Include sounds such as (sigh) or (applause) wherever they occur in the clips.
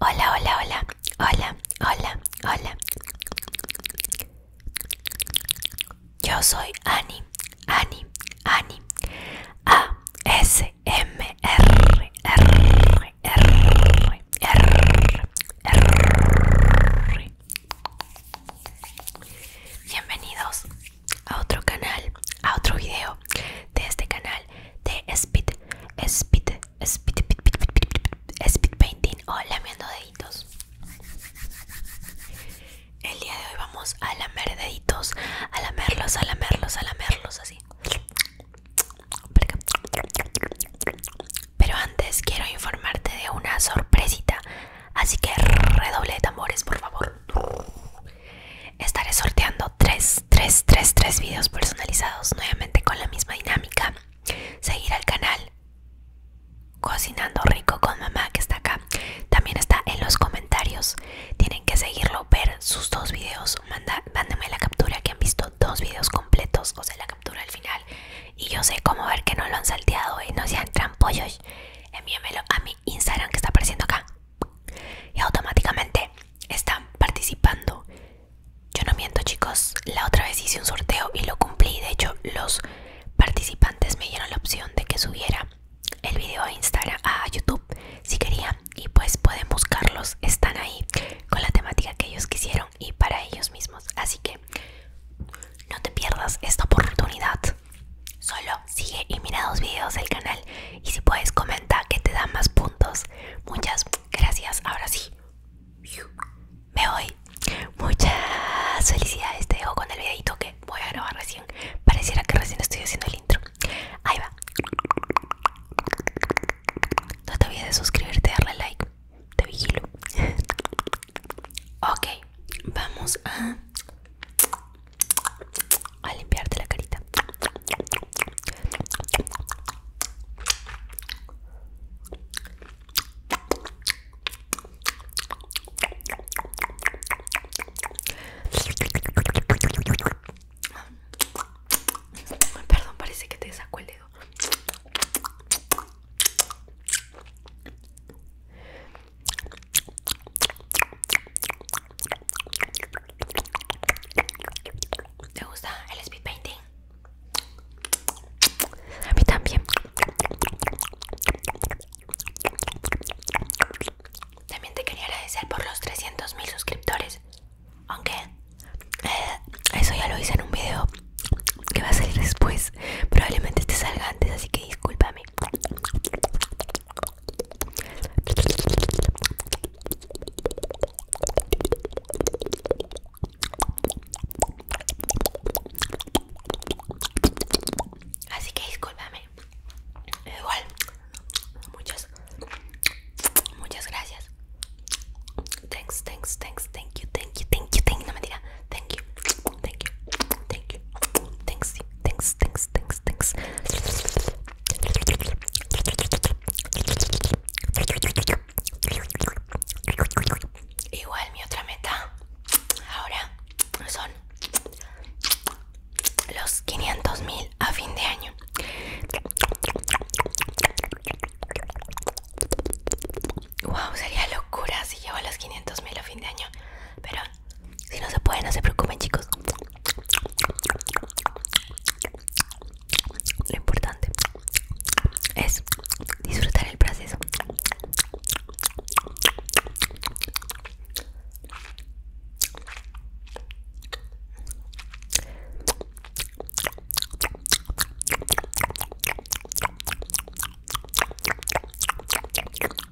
Hola, hola, hola, hola, hola, hola. Yo soy Ani, Ani, Ani. A S M R R R R R. Bienvenidos a otro canal, a otro video de este canal de speed, speed, speed, speed painting o oh, lamiendo deditos. El día de hoy vamos a lamer deditos, a lamerlos, a lamerlos, a lamerlos así. Pero antes quiero informarte de una sorpresita, así que redoble de tambores, por favor. Estaré sorteando 3, 3, 3, 3 videos personalizados nuevamente con la misma dinámica. Seguir al canal Cocinando Rico con Mamá que está acá. También está en los comentarios. Tienen que seguirlo, ver sus dos videos. Manda, la captura que han visto dos videos completos, o sea, la captura al final. Y yo sé cómo ver que no lo han salteado y eh, no sean trampollos. Envíamelo a mi Instagram que está apareciendo acá y automáticamente están participando. Yo no miento chicos, la otra vez hice un sorteo y lo cumplí. De hecho, los participantes me dieron la opción de que subiera el video a Instagram, a YouTube, si querían. Y pues pueden buscarlos, están ahí con la temática que ellos quisieron y para ellos mismos. Así que no te pierdas esta oportunidad. Solo sigue y mira dos videos del canal y si puedes comenta que te da más puntos. Muchas gracias. Ahora sí. Me voy. Muchas felicidades. Te dejo con el videito que voy a grabar recién. Pareciera que recién estoy haciendo el intro. Ahí va. No te olvides de suscribirte, darle like. Te vigilo. (laughs) Ok, vamos a a limpiarte la carita. Perdón, parece que te saco el dedo. ¿Te gusta el speed painting? A mí también. También te quería agradecer por los 300.000 suscriptores. Aunque eh, eso ya lo hice en un video que va a salir después. Probablemente te salga antes, así que discúlpame. Así que discúlpame. Igual. Muchas. Muchas gracias. Thanks, thanks, thanks, thank you, thank you, thank you, thank you. No Thank you thank you, thanks, Igual mi otra meta ahora son los 500 mil a fin de año. Wow, sería locura si llevo los 500 mil a fin de año, pero si no se puede, no se preocupen, chicos. Lo importante es disfrutar el proceso.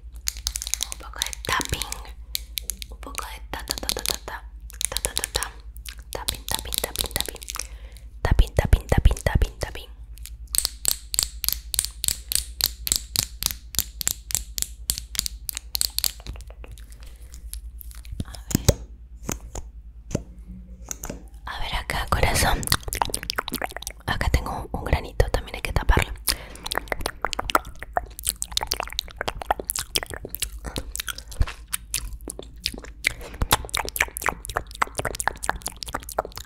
un poco de tapping un poco de ta ta ta ta ta ta ta ta ta ta tapin tapin tapin tapping tapping tapping tapping tapping tapping a ver, a ver acá corazón acá tengo un granito también hay que taparlo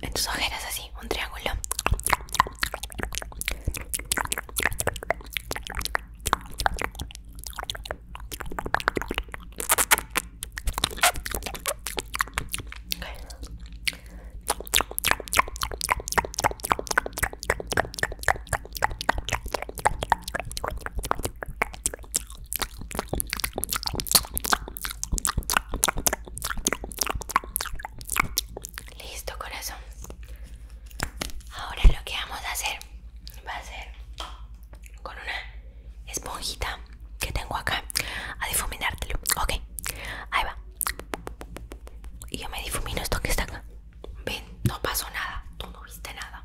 en tus ojeras así, un triángulo. Listo, corazón. Ahora lo que vamos a hacer va a ser con una esponjita que tengo acá a difuminártelo. Ok, ahí va. Y yo me difumino esto que está acá. Ven, no pasó nada. Tú no viste nada.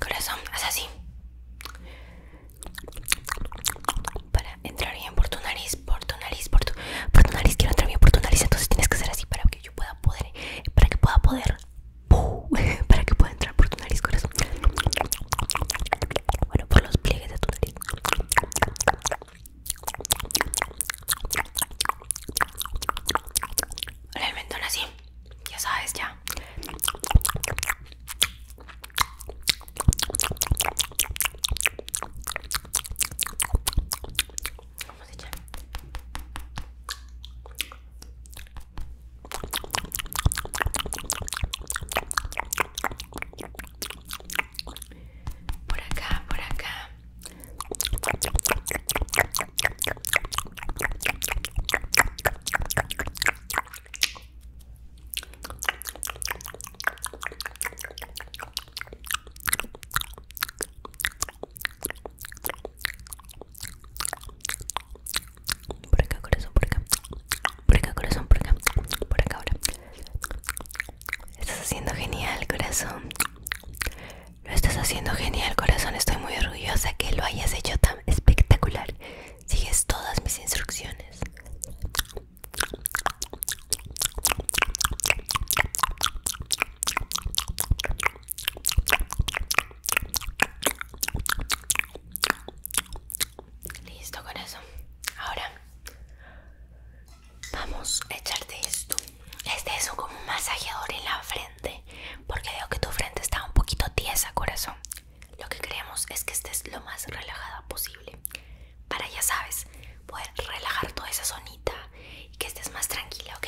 Corazón, haz así para entrar bien por tu nariz, por tu nariz, por tu, por tu nariz. Quiero entrar bien por tu nariz, entonces tienes que hacer así para que yo pueda poder, para que pueda poder, (laughs) para que pueda entrar por tu nariz, corazón. Bueno, por los pliegues de tu nariz. El mentón así, ya sabes, ya. Vamos Por acá, por acá. Por acá, corazón, por acá. Por acá, corazón, por acá. Por acá ahora. Estás haciendo genial, corazón. Lo estás haciendo genial, corazón. Estoy muy orgullosa que lo hayas hecho tan espectacular. Sigues todas mis instrucciones. Listo corazón Ahora vamos a echarte esto. Este es como un masajeador en la frente, porque veo que tu frente está un poquito tiesa, corazón. Lo que queremos es que estés lo más relajada posible para ya sabes poder relajar toda esa zonita y que estés más tranquila, ¿ok?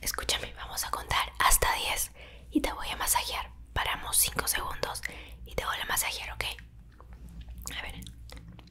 Escúchame, vamos a contar hasta 10 y te voy a masajear. Paramos 5 segundos y te voy a masajear, ¿ok? A ver.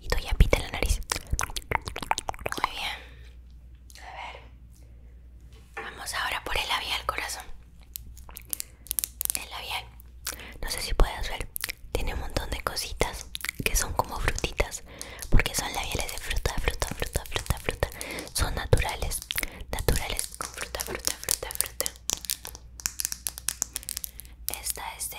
y doy pita la nariz. Muy bien. A ver. Vamos ahora por el labial, corazón. El labial. No sé si puedes ver. Tiene un montón de cositas que son como frutitas. Porque son labiales de fruta, fruta, fruta, fruta, fruta. Son naturales. Naturales con fruta, fruta, fruta, fruta. Esta es de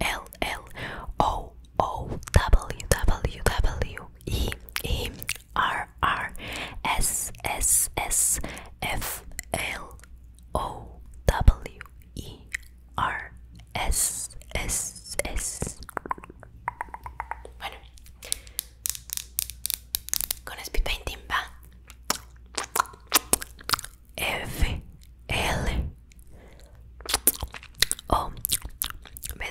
L L O O W W W E E R R S S S F L O W E R S S S Bueno, con speed painting va F L O oh, W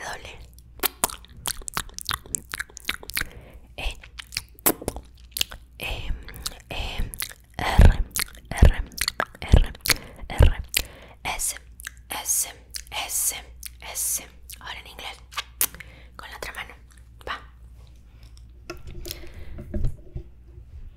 e, e E R R R R S S S S ahora en inglés con la otra mano va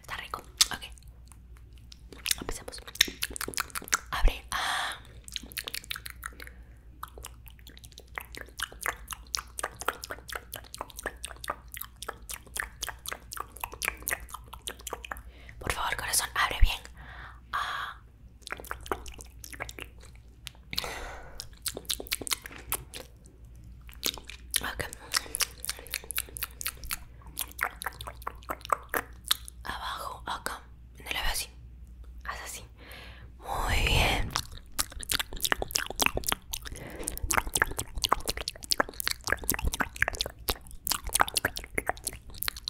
Está rico, ok. Empecemos. Abre. Ah. Por favor, corazón, abre bien. Ah acá Abajo, acá, no la veo así, haz así, muy bien.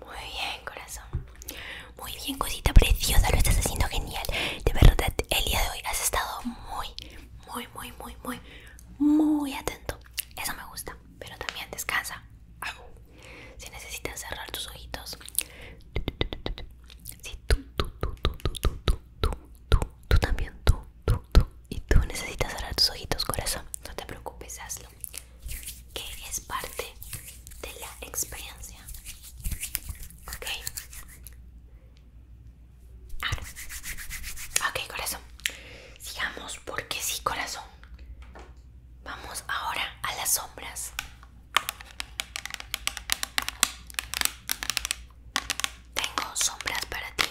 Muy bien, corazón. Muy bien, cosita preciosa, lo estás haciendo genial. De verdad, el día de hoy has estado muy, muy, muy, muy, muy, muy atento. Eso me gusta, pero también descansa. Si necesitas cerrar tus ojitos. Si tú, tú, tú, tú, tú, tú, tú, tú, tú, tú también, tú, tú, tú. Y tú necesitas cerrar tus ojitos, corazón. No te preocupes, hazlo. Que es parte de la experiencia Ok. Ok, corazón. Sigamos porque sí, corazón. Vamos ahora a las sombras. Tengo sombras para ti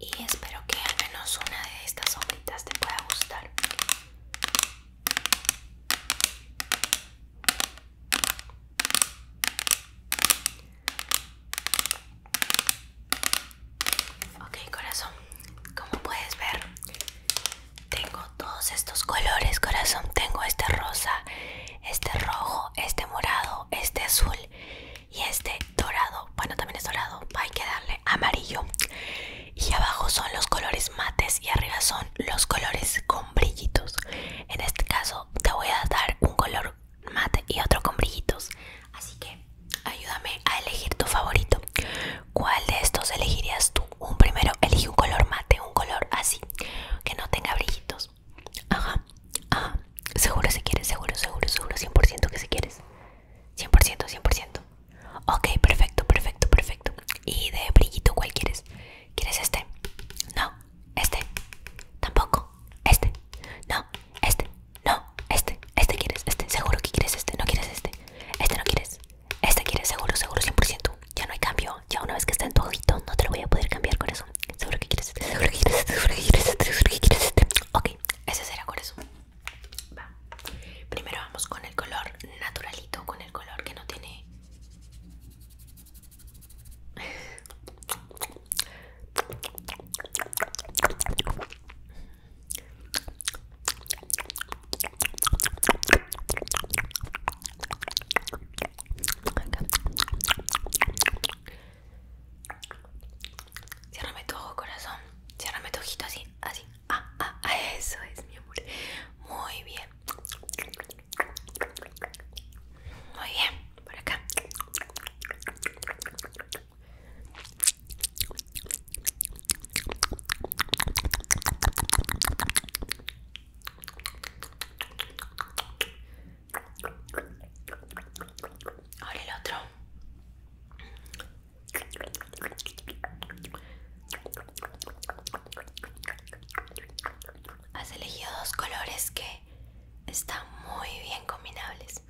y espero que al menos una de estas sombritas te pueda gustar. Ok corazón, como puedes ver, tengo todos estos colores corazón. Tengo este rosa, este rojo, este morado, este azul y este dorado. Bueno, también es dorado, hay que darle amarillo y abajo son los colores mates y arriba son los colores con brillitos en este caso te voy a dar un color mate y otro con brillitos así que ayúdame a elegir tu favorito cuál de estos elegirías tú un primero elige un color mate un color así que no tenga brillitos ajá ajá seguro si quieres seguro seguro seguro 100% que si quieres 100% 100% Ok, perfecto, perfecto, perfecto. ¿Y de brillito cuál quieres? ¿Quieres este? No, este. Tampoco, este. No, este. No, este. Este quieres, este. Seguro que quieres este. No quieres este. Este no quieres. Este quieres, seguro, seguro, 100%. Ya no hay cambio. Ya una vez que está en tu ojito, no te lo voy a poder cambiar, con eso quieres este, Seguro que quieres este. Seguro que quieres este. Seguro que quieres este. Ok, ese será eso Va. Primero vamos con el color naturalito, con el color que no tiene... cierrame tu ojo, corazón. cierrame tu ojito así, así. Ah, ah, ah, eso es, mi amor. Muy bien. Muy bien, por acá. Ahora el otro. Has elegido dos colores que están muy bien combinables.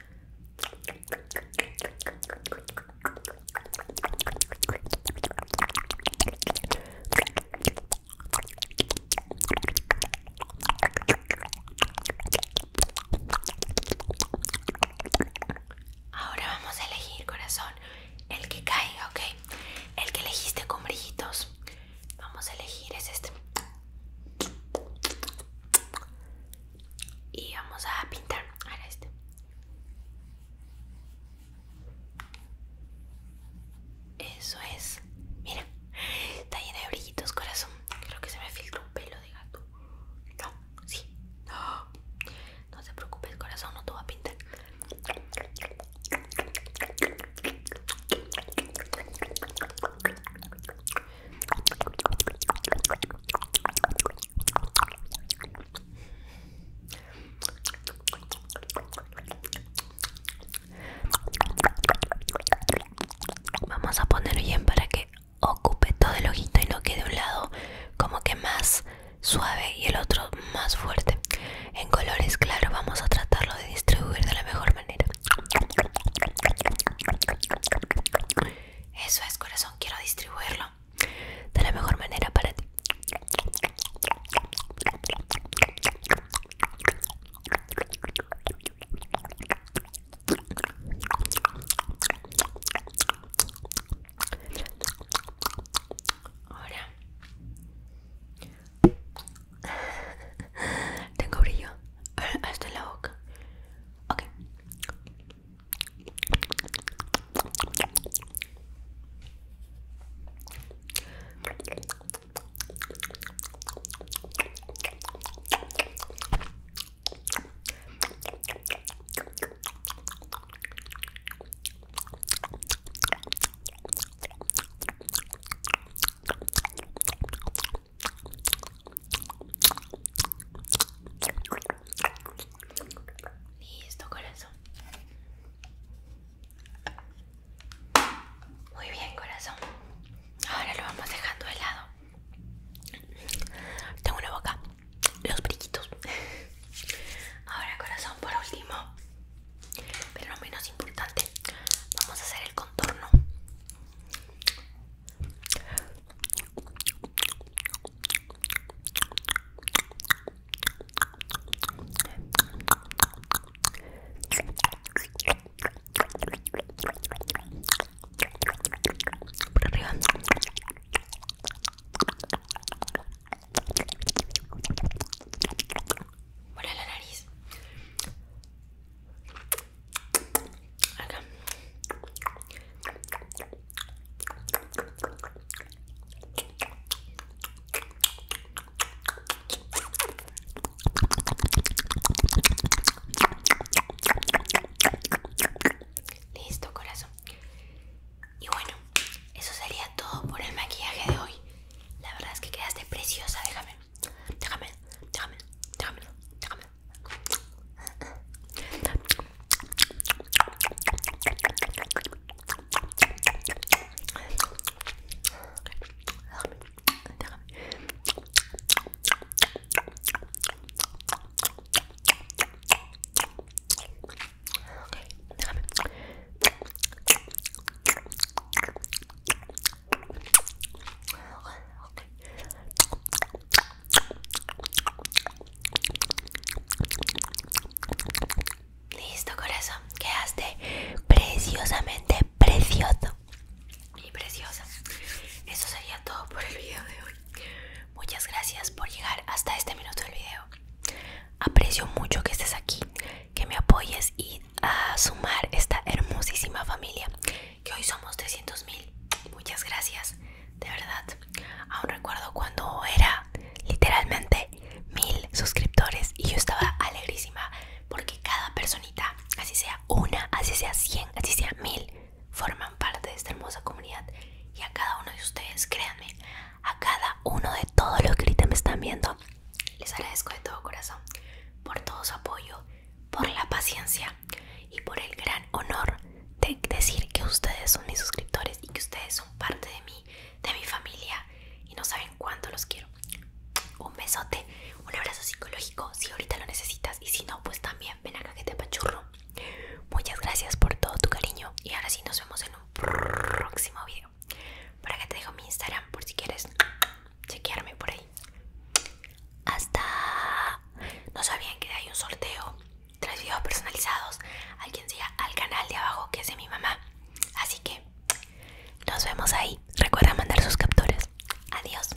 Ahora vamos a elegir, corazón, el que caiga, ¿ok? El que elegiste con brillitos. Vamos a elegir es este. Y vamos a pintar ahora este. Eso es. Mira, está lleno de brillitos, corazón. Creo que se me filtró un pelo de gato. No, sí. No. No se preocupe, el corazón no te va a pintar. Vamos a ponerlo bien para que ocupe todo el ojito y lo quede un lado como que más suave y el otro más fuerte. En colores, claro, vamos a tratarlo de distribuir de la mejor manera. Eso es, corazón, quiero distribuirlo de la mejor manera para ti. Ahora (laughs) tengo brillo (laughs) hasta la boca. Ok. Listo, corazón. Muy bien, corazón. Ahora lo vamos dejando de lado. Tengo una boca los brillitos. Ahora corazón por último, pero menos importante, vamos a hacer el contorno. Por arriba. Para la nariz. Acá. Listo, corazón. Y bueno, eso sería todo por el maquillaje de hoy. La verdad es que quedaste preciosa, déjame. Déjame, déjame, déjame, déjame. déjame. Ok, déjame. Listo, corazón. Quedaste preciosamente precioso. Y preciosa. Eso sería todo por el video de hoy. Muchas gracias por llegar hasta este minuto del video. Aprecio mucho que estés aquí, que me apoyes y a sumar esta hermosísima familia, que hoy somos 300 mil. Muchas gracias, de verdad. Aún recuerdo cuando era literalmente mil suscriptores y yo estaba alegrísima porque cada personita, así sea una, así sea 100, así sea mil, forman parte de esta hermosa comunidad y a cada uno de ustedes, créanme, a cada uno de todos los que ahorita me están viendo. Les agradezco de todo corazón por todo su apoyo, por la paciencia y por el gran honor de decir que ustedes son mis suscriptores y que ustedes son parte de mí, de mi familia y no saben cuánto los quiero. Un besote, un abrazo psicológico si ahorita lo necesitas y si no, pues también ven acá que te pachurro. Muchas gracias por todo tu cariño y ahora sí nos vemos en un próximo video. Para que te dejo mi Instagram por si quieres chequearme por ahí. Hasta... No sabían que hay un sorteo. Tres videos personalizados. Alguien siga al canal de abajo que es de mi mamá. Así que nos vemos ahí. Recuerda mandar sus capturas. Adiós.